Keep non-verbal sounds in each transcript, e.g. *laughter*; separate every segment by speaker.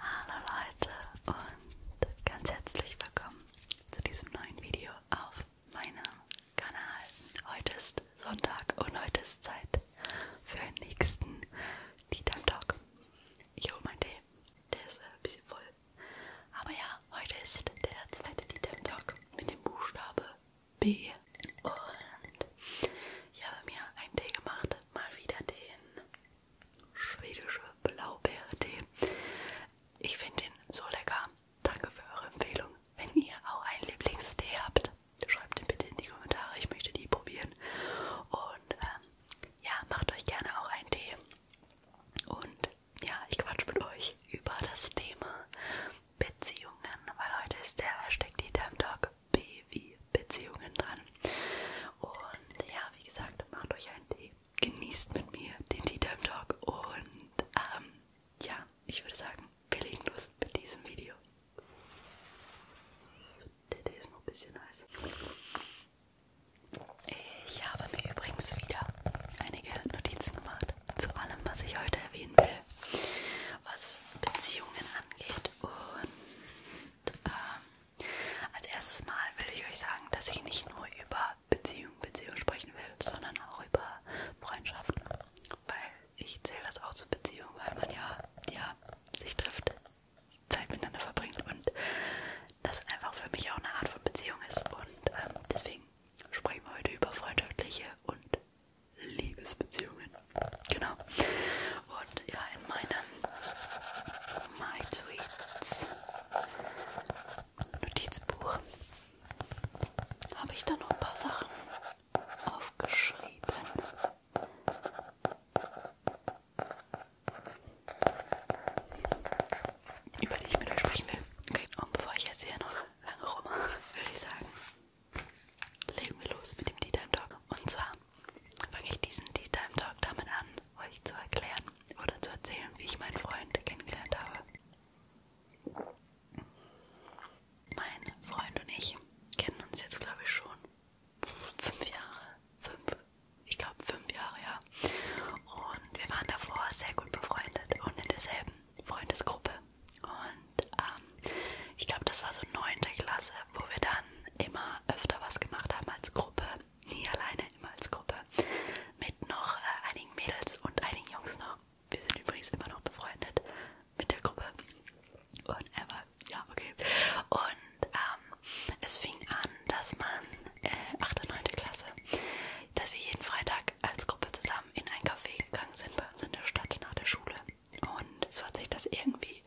Speaker 1: Hallo Leute und ganz herzlich willkommen zu diesem neuen Video auf meinem Kanal. Heute ist Sonntag und heute ist Zeit für den nächsten Tea Time Talk. Ich hole meinen Tee, der ist äh, ein bisschen voll. Aber ja, heute ist der zweite Tea Time Talk mit dem Buchstabe B und ich habe mir einen Tee gemacht, mal wieder den schwedische Blaubeere-Tee. Ich finde den so lecker. Danke für eure Empfehlung. Wenn ihr auch einen Lieblingstee habt, schreibt den bitte in die Kommentare. Ich möchte die probieren. Und ähm, ja, macht euch gerne auch einen Tee. Und ja, ich quatsch mit euch über das Thema Beziehungen, weil heute ist der Hashtag Dieter im Talk. B wie Beziehungen dran. Und ja, wie gesagt, macht euch einen Tee. Genießt mit mir den Tea Time Talk. Und ähm, ja, ich würde sagen, wir legen los mit diesem Video. Der Tee ist noch ein bisschen heiß. Ich habe mir übrigens wieder einige Notizen gemacht zu allem, was ich heute erwähnen will was Beziehungen angeht. Und ähm, als erstes Mal will ich euch sagen, dass ich nicht nur über Beziehung, Beziehung sprechen will, sondern auch über Freundschaften. Weil ich zähle das auch zur Beziehung, weil man ja, ja sich trifft, Zeit miteinander verbringt und das einfach für mich auch eine Art von Beziehung ist. Und ähm, deswegen sprechen wir heute über freundschaftliche und Liebesbeziehungen. Genau. Und ja, in meinen My Tweets Notizbuch habe ich da noch ein paar Sachen aufgeschrieben. Über die ich mit euch sprechen will. Okay, und bevor ich jetzt hier noch lange rummache, würde ich sagen, legen wir los mit dem Tea Time Talk. Und zwar fange ich diesen Tea Time Talk damit an, euch zu erklären oder zu erzählen, wie ich meinen Freund kennengelernt habe. Mein Freund und ich kennen uns jetzt, glaube ich, schon fünf Jahre. Fünf, ich glaube, fünf Jahre, ja. Und wir waren davor sehr gut befreundet und in derselben Freundesgruppe und ähm, ich glaube, das war so neunte Klasse, wo wir dann immer öfter was gemacht haben als Gruppe. Nie alleine, immer als Gruppe. Mit noch äh, einigen Mädels und einigen Jungs noch. Wir sind übrigens immer noch befreundet mit der Gruppe. Und er war, ja, okay. Und ähm, es fing an, dass man, äh, 8. und 9. Klasse, dass wir jeden Freitag als Gruppe zusammen in ein Café gegangen sind bei uns in der Stadt nach der Schule. Und so hat sich das irgendwie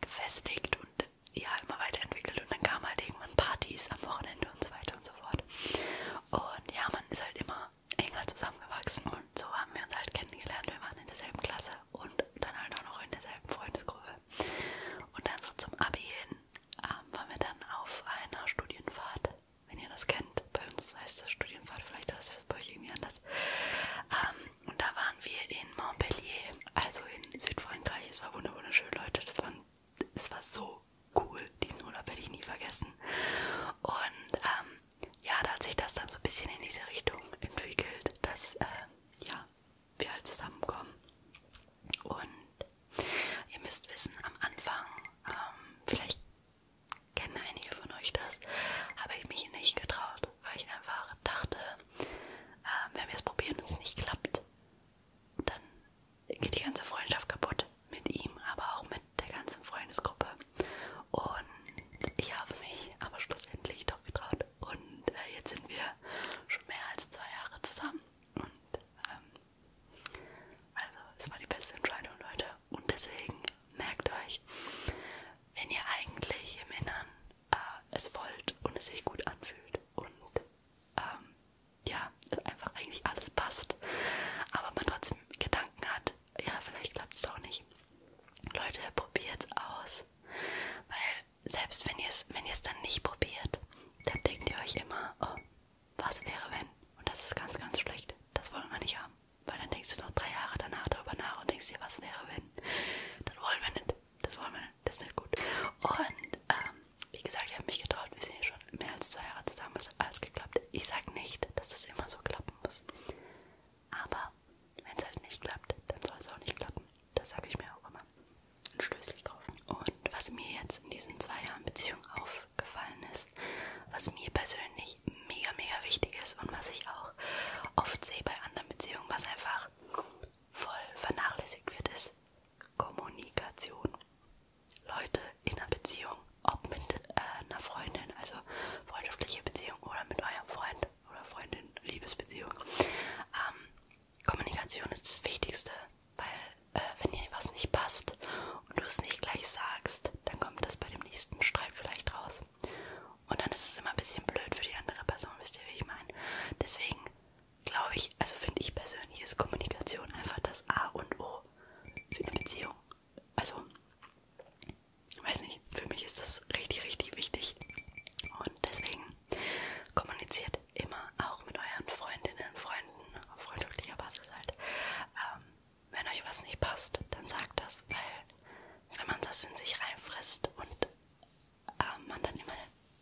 Speaker 1: gefestigt und ja, immer weiterentwickelt. Und dann kamen halt irgendwann Partys am Wochenende und so weiter und so fort. Und ja, man ist halt immer enger zusammengewachsen. Und so haben wir uns halt kennengelernt. Wir waren in derselben Klasse und dann halt auch noch in derselben Freundesgruppe. Und dann so zum Abi hin ähm, waren wir dann auf einer Studienfahrt. Wenn ihr das kennt, bei uns heißt das Studienfahrt, vielleicht heißt das bei euch irgendwie anders. Ähm, und da waren wir in Montpellier, also in Südfrankreich. Es war wunderschön, Leute. Das war, es war so cool. Diesen Urlaub werde ich nie vergessen. Und ähm, ja, da hat sich das dann so ein bisschen in diese Richtung entwickelt, dass äh, ja, wir halt zusammenkommen. Und ihr müsst wissen, am Anfang, ähm, vielleicht Kennen einige von euch das? Habe ich mich nicht getraut, weil ich einfach dachte, ähm, wenn wir es probieren und es nicht klappt, dann geht die ganze Freundschaft kaputt mit ihm, aber auch mit der ganzen Freundesgruppe. Und ich habe mich aber schlussendlich doch getraut. Und äh, jetzt sind wir schon mehr als zwei Jahre zusammen. Und ähm, also es war die beste Entscheidung, Leute. Und deswegen merkt euch, wenn ihr eigentlich im Innern äh, es wollt und es sich gut anfühlt und ähm, ja, einfach eigentlich alles passt, aber man trotzdem Gedanken hat, ja, vielleicht klappt es doch nicht. Leute, probiert es aus. Weil selbst wenn ihr es wenn ihr's dann nicht probiert, dann denkt ihr euch immer, oh, was wäre wenn? Und das ist ganz, ganz schlecht. Das wollen wir nicht haben. Weil dann denkst du noch drei Jahre danach darüber nach und denkst dir, was wäre, wenn. Das wollen wir nicht. Das wollen wir nicht. Das ist nicht gut. Und ähm, wie gesagt, ich habe mich getraut. Wir sind ja schon mehr als zwei Jahre zusammen. Es hat alles geklappt. Ich sage nicht, dass das immer so klappen muss. Aber wenn es halt nicht klappt, dann soll es auch nicht klappen. Das sage ich mir auch immer. Ein Schlüssel drauf. Und was mir jetzt in diesen zwei Jahren Beziehung aufgefallen ist, was mir persönlich mega, mega wichtig ist und was ich auch auch oft sehe bei anderen Beziehungen, was einfach voll vernachlässigt wird, ist Kommunikation. Leute in einer Beziehung, ob mit äh, einer Freundin, also freundschaftliche Beziehung oder mit eurem Freund oder Freundin, Liebesbeziehung. Ähm, Kommunikation ist das Wichtigste, weil äh, wenn dir was nicht passt und du es nicht gleich sagst, dann kommt das bei dem nächsten Streit vielleicht raus. Und dann ist es immer ein bisschen blöd für die andere Person, wisst ihr, wie ich meine? Deswegen glaube ich, also finde ich persönlich, ist Kommunikation einfach das A und O für eine Beziehung. Also, weiß nicht, für mich ist das richtig, richtig wichtig. Und deswegen kommuniziert immer auch mit euren Freundinnen, Freunden, auf freundschaftlicher Basis halt, ähm, wenn euch was nicht passt, dann sagt das, weil wenn man das in sich reinfrisst und äh, man dann immer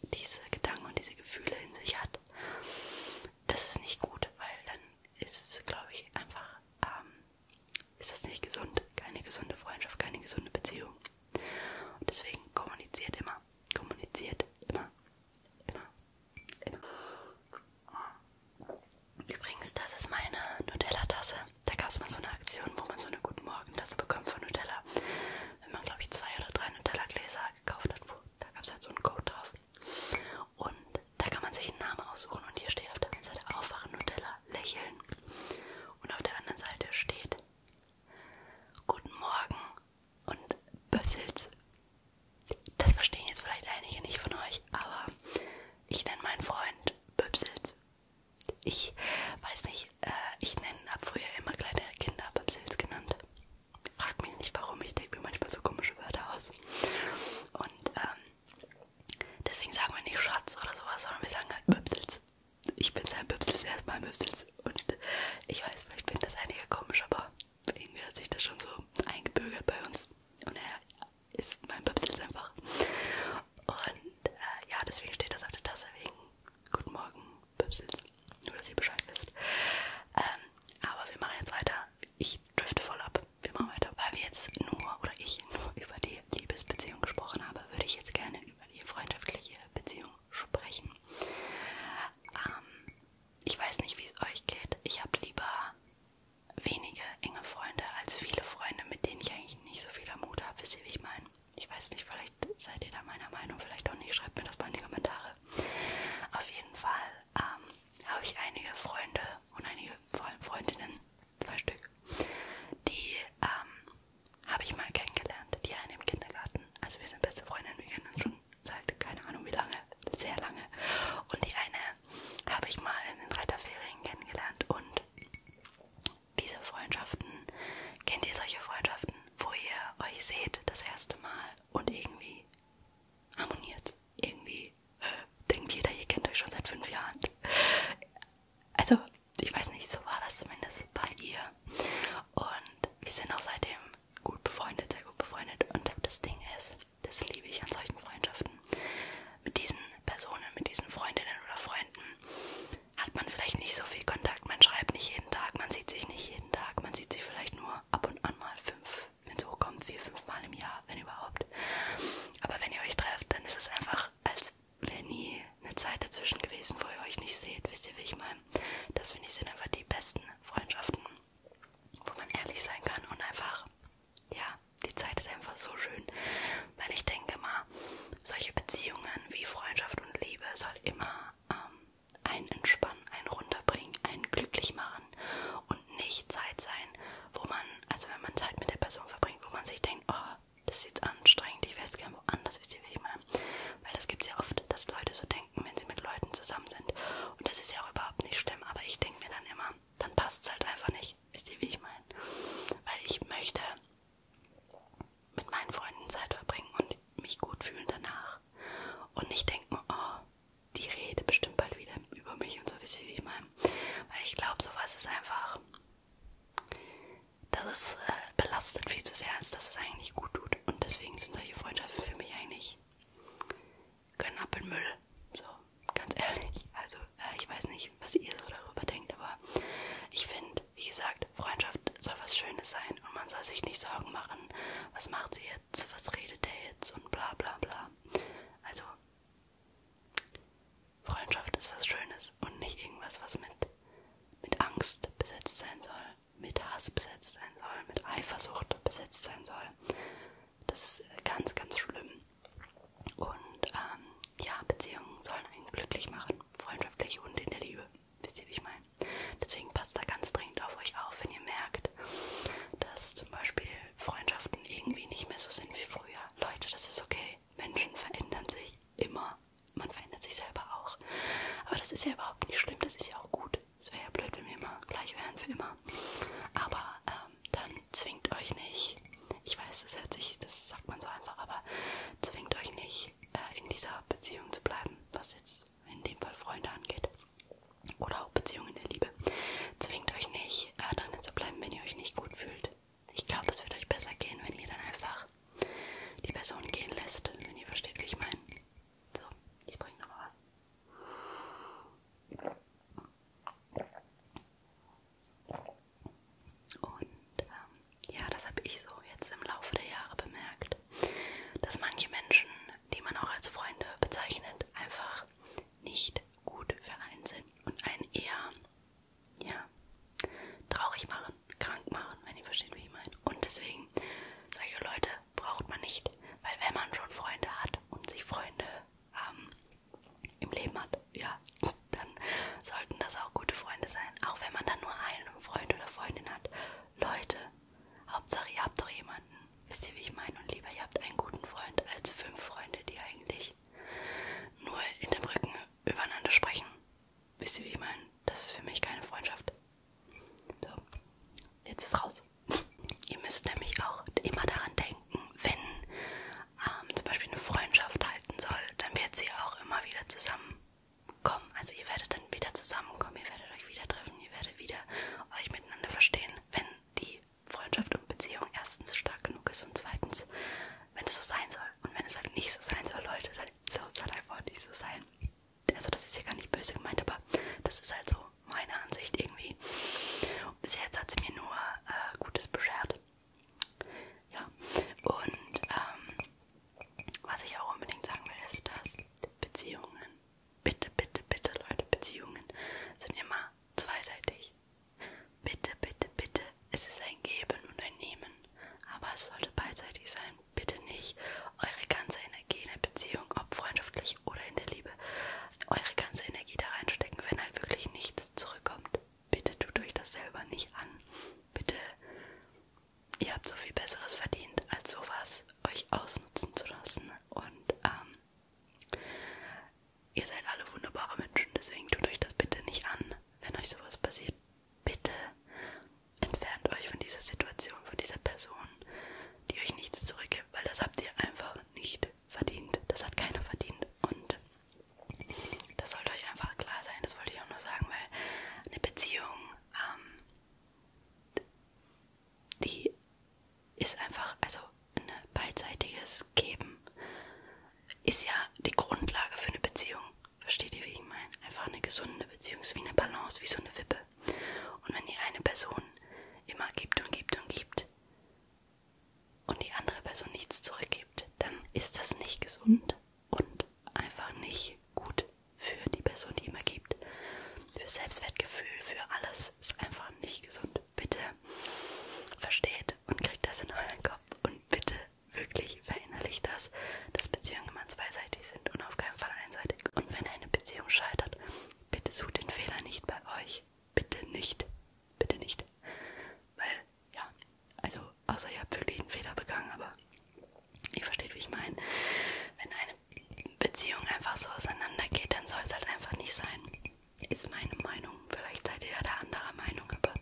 Speaker 1: diese Gedanken und diese Gefühle in sich hat, das ist nicht gut, weil dann ist, glaube ich, einfach, ähm, ist das nicht gesund, keine gesunde Freundschaft, keine gesunde Beziehung. Und deswegen kommuniziert immer, kommuniziert immer, immer, immer. Übrigens, das ist meine Nutella-Tasse. Da gab es mal so eine Aktion, wo man so eine Guten Morgen-Tasse bekommt von Nutella. Wenn man, glaube ich, zwei oder drei Nutella-Gläser gekauft hat, wo, da gab es halt so einen Code drauf. Und da kann man sich einen Namen aussuchen. Und hier steht auf der einen Seite Aufwachen Nutella, Lächeln. Und auf der anderen Seite steht Guten Morgen und Büffels. Das verstehen jetzt vielleicht einige nicht von euch, aber ich nenne meinen Freund Böbsels. Ich weiß nicht, äh, ich habe früher immer kleine Kinder Böbsels genannt. Frag mich nicht warum, ich denke mir manchmal so komische Wörter aus. Und ähm, deswegen sagen wir nicht Schatz oder sowas, sondern wir sagen halt Böbsels. Ich bin sein Böbsels, erstmal Böbsels. Und ich weiß, vielleicht finden das einige komisch, aber irgendwie hat sich das schon so eingebürgert bei uns. Und er ist mein Pöpsel einfach. Und äh, ja, deswegen steht das auf der Tasse wegen Guten Morgen, Pöpsels. Nur, dass ihr Bescheid wisst. Ähm, aber wir machen jetzt weiter. Ich drifte voll ab. Wir machen weiter. Weil wir jetzt nur, oder ich nur *laughs* über die Liebesbeziehung gesprochen habe, würde ich jetzt gerne über die freundschaftliche Beziehung sprechen. Ähm, ich weiß nicht, wie es euch geht. Ich habe lieber wenige enge Freunde als viele Freunde, mit denen ich eigentlich nicht so viel Mut habe. Wisst ihr, wie ich meine? Ich weiß nicht, vielleicht seid ihr da meiner Meinung, vielleicht auch nicht. Schreibt mir das mal in die Kommentare. Auf jeden Fall ähm, habe ich einige Freunde und einige vor allem Freundinnen, zwei Stück, die ähm, habe ich mal kennengelernt, die eine im Kindergarten. Also wir sind beste Freundinnen, wir kennen uns schon seit keine Ahnung wie lange, sehr lange. Und die eine habe ich mal in den Reiterferien kennengelernt und diese Freundschaften, kennt ihr solche Freundschaften, wo ihr euch seht das erste Mal und irgendwie harmoniert, irgendwie äh, denkt jeder, ihr kennt euch schon seit fünf Jahren. Also, ich weiß nicht, so war das zumindest bei ihr. Und wir sind auch seitdem gut befreundet, sehr gut befreundet. Und das Ding ist, das liebe ich an solchen Freundschaften. Mit diesen Personen, mit diesen Freundinnen oder Freunden hat man vielleicht nicht so viel Kontakt. Man schreibt nicht jeden Tag, man sieht sich nicht jeden Tag, man sieht sich vielleicht nur ab und an mal fünf, wenn es hochkommt, vier, fünf Mal im Jahr, wenn überhaupt. Aber wenn ihr euch trefft, dann ist es einfach, als wäre nie eine Zeit dazwischen gewesen, wo ihr euch nicht seht. Wisst ihr, wie ich meine? Das finde ich sind einfach die besten Freundschaften, wo man ehrlich sein kann und einfach, ja, die Zeit ist einfach so schön, weil ich denke mal, solche Beziehungen wie Freundschaft und Liebe soll immer ähm, ein Entspannen, ein Runterbringen, ein Glücklich machen und nicht Zeit sein, wo man, also wenn man Zeit mit der Person verbringt, wo man sich denkt, oh, das ist anstrengend, ich weiß gerne woanders, wisst ihr, wie ich meine. Weil das gibt es ja oft, dass Leute so denken, wenn sie mit Leuten zusammen sind. Und das ist ja auch überhaupt nicht schlimm, aber ich denke mir dann immer, dann passt es halt einfach nicht. Wisst ihr, wie ich meine? Weil ich möchte mit meinen Freunden Zeit verbringen und mich gut fühlen danach. Und nicht denken, oh, die rede bestimmt bald wieder über mich und so, wisst ihr, wie ich meine? Weil ich glaube, sowas ist einfach, das ist, äh, belastet viel zu sehr, als dass es eigentlich gut tut. Und deswegen sind solche Freundschaften für mich eigentlich Knappelmüll. So, ganz ehrlich. Also, äh, ich weiß nicht, was ihr so darüber denkt, aber ich finde, wie gesagt, Freundschaft soll was Schönes sein und man soll sich nicht Sorgen machen, was macht sie jetzt, was redet der jetzt und bla bla bla. Also, Freundschaft ist was Schönes und nicht irgendwas, was mit, mit Angst besetzt sein soll, mit Hass besetzt sein soll, mit Eifersucht besetzt sein soll. Das ist ganz, ganz schlimm. Und ähm, ja, Beziehungen sollen einen glücklich machen, freundschaftlich und in der Liebe. Wisst ihr, wie ich meine? Deswegen passt da ganz dringend auf euch auf, wenn ihr merkt, dass zum Beispiel Freundschaften irgendwie nicht mehr so sind wie früher. Leute, das ist okay. Menschen verändern sich immer. Man verändert sich selber auch. Aber das ist ja überhaupt nicht schlimm, das ist ja auch gut. Es wäre ja blöd, wenn wir immer gleich wären für immer. Aber ähm, dann zwingt euch nicht. Ich weiß, das hört sich, das sagt man so einfach, aber zwingt euch nicht, äh, in dieser Beziehung zu bleiben, was jetzt in dem Fall Freunde angeht. Oder auch Beziehungen der Liebe. Zwingt euch nicht, äh, drinnen zu bleiben, wenn ihr euch nicht gut fühlt. Ich glaube, es wird euch besser gehen, wenn ihr dann einfach die Person gehen lässt, wenn ihr versteht, wie ich meine. So, ich trinke nochmal was. Und ähm, ja, das habe ich so jetzt im Laufe der Jahre bemerkt, dass manche Menschen, die man auch als Freunde bezeichnet, einfach nicht gut für einen sind und einen eher ja, traurig machen, krank machen, wenn ihr versteht, wie ich meine. Und deswegen, solche Leute braucht man nicht, weil wenn man schon Freunde hat und sich Freunde ähm, im Leben hat, ja, dann sollten das auch gute Freunde sein. Auch wenn man dann nur einen Freund oder Freundin hat. Leute, Hauptsache ihr habt doch jemanden. Wisst ihr, wie ich meine? Und lieber ihr habt einen guten Freund als fünf Freunde, die eigentlich nur in dem Rücken übereinander sprechen. Wisst ihr, wie ich meine? Das ist für mich keine Freundschaft. So, jetzt ist raus. Ihr müsst nämlich auch immer daran denken, wenn ähm, zum Beispiel eine Freundschaft halten soll, dann wird sie auch immer wieder zusammenkommen. Also ihr werdet dann wieder zusammenkommen, ihr werdet euch wieder treffen, ihr werdet wieder euch miteinander verstehen, wenn die Freundschaft und Beziehung erstens stark genug ist und zweitens, wenn es so sein soll. Und wenn es halt nicht so sein soll, Leute, dann soll es halt einfach nicht so sein. Also das ist ja gar nicht böse gemeint, aber das ist halt so meiner Ansicht irgendwie. Und bis jetzt hat sie mir nur äh, Gutes beschert. Ja, und ähm, was ich auch unbedingt sagen will, ist, dass Beziehungen, bitte, bitte, bitte, Leute, Beziehungen sind immer zweiseitig. Bitte, bitte, bitte, es ist ein Geben und ein Nehmen, aber es sollte beidseitig sein. Bitte nicht eure ganze Energie in der Beziehung, ob freundschaftlich oder in der Liebe, eure ganze Energie da reinstecken, wenn halt wirklich nichts zurückkommt. Bitte tut euch das selber nicht an. Bitte, ihr habt so viel Besseres verdient, als sowas euch ausnutzen zu lassen. Und ähm, ihr seid alle wunderbare Menschen, deswegen tut euch das bitte nicht an, wenn euch sowas passiert. Bitte entfernt euch von dieser Situation, von dieser Person, die euch nichts zurückgibt, weil das habt ihr einfach nicht verdient. Das hat keiner verdient. Und das sollte euch einfach klar sein. Das wollte ich auch nur sagen, weil eine Beziehung, ähm, die ist einfach, also ein beidseitiges Geben ist ja die Grundlage für eine Beziehung. Versteht ihr, wie ich meine? Einfach eine gesunde Beziehung, ist wie eine Balance, wie so eine Wippe. Und wenn die eine Person immer gibt und gibt und gibt und die andere Person nichts zurückgibt, dann ist das nicht gesund und einfach nicht gut für die Person, die immer gibt. Für Selbstwertgefühl, für alles ist einfach nicht gesund. Bitte versteht und kriegt das in euren Kopf und bitte wirklich verinnerlicht das, dass Beziehungen immer zweiseitig sind und auf keinen Fall einseitig. Und wenn eine Beziehung scheitert, bitte sucht den Fehler nicht bei euch. Bitte nicht. Bitte nicht. Weil, ja, also außer ihr habt wirklich einen Fehler begangen, aber ihr versteht, wie ich meine. Wenn eine Beziehung einfach so auseinandergeht, dann soll es halt einfach nicht sein. Ist meine Meinung. Vielleicht seid ihr ja da anderer Meinung, aber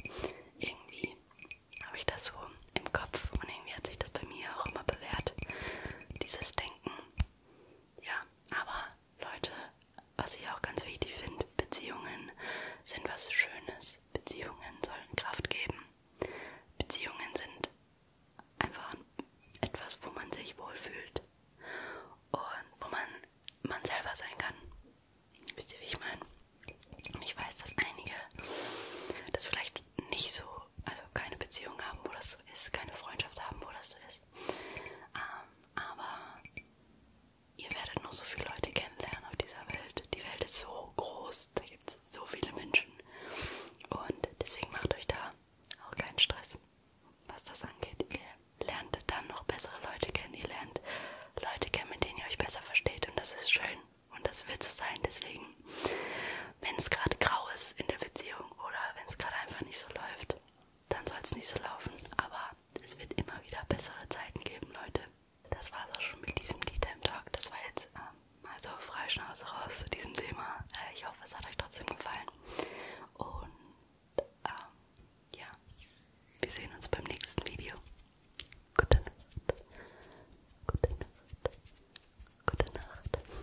Speaker 1: irgendwie habe ich das so im Kopf und irgendwie hat sich das bei mir auch immer bewährt. Dieses Denken, ja, aber Leute, was ich auch ganz wichtig finde, Beziehungen sind was Schönes. Beziehungen sollen Kraft geben. Beziehungen sind einfach etwas, wo man sich wohlfühlt und wo man man selber sein kann. Wisst ihr, wie ich meine? Und ich weiß, dass einige das vielleicht nicht so, also keine Beziehung haben, wo das so ist, keine Freundschaft haben, wo das so ist ist. Ähm, aber ihr werdet noch so viele Leute kennenlernen auf dieser Welt. Die Welt ist so groß, da gibt es so viele Menschen. Und deswegen macht euch da auch keinen Stress, was das angeht. Ihr lernt dann noch bessere Leute kennen. Ihr lernt Leute kennen, mit denen ihr euch besser versteht. Und das ist schön. Und das wird so sein. Deswegen, wenn es gerade grau ist in der Beziehung, Richtung oder wenn es gerade einfach nicht so läuft, dann soll es nicht so laufen. Aber es wird immer wieder bessere Zeiten geben, Leute. Das war's auch schon mit diesem D-Time Talk. Das war jetzt ähm, also Freischnauze raus zu diesem Thema. Äh, ich hoffe, es hat euch trotzdem gefallen. Und ähm, ja, wir sehen uns beim nächsten Video. Gute Nacht. Gute Nacht. Gute Nacht.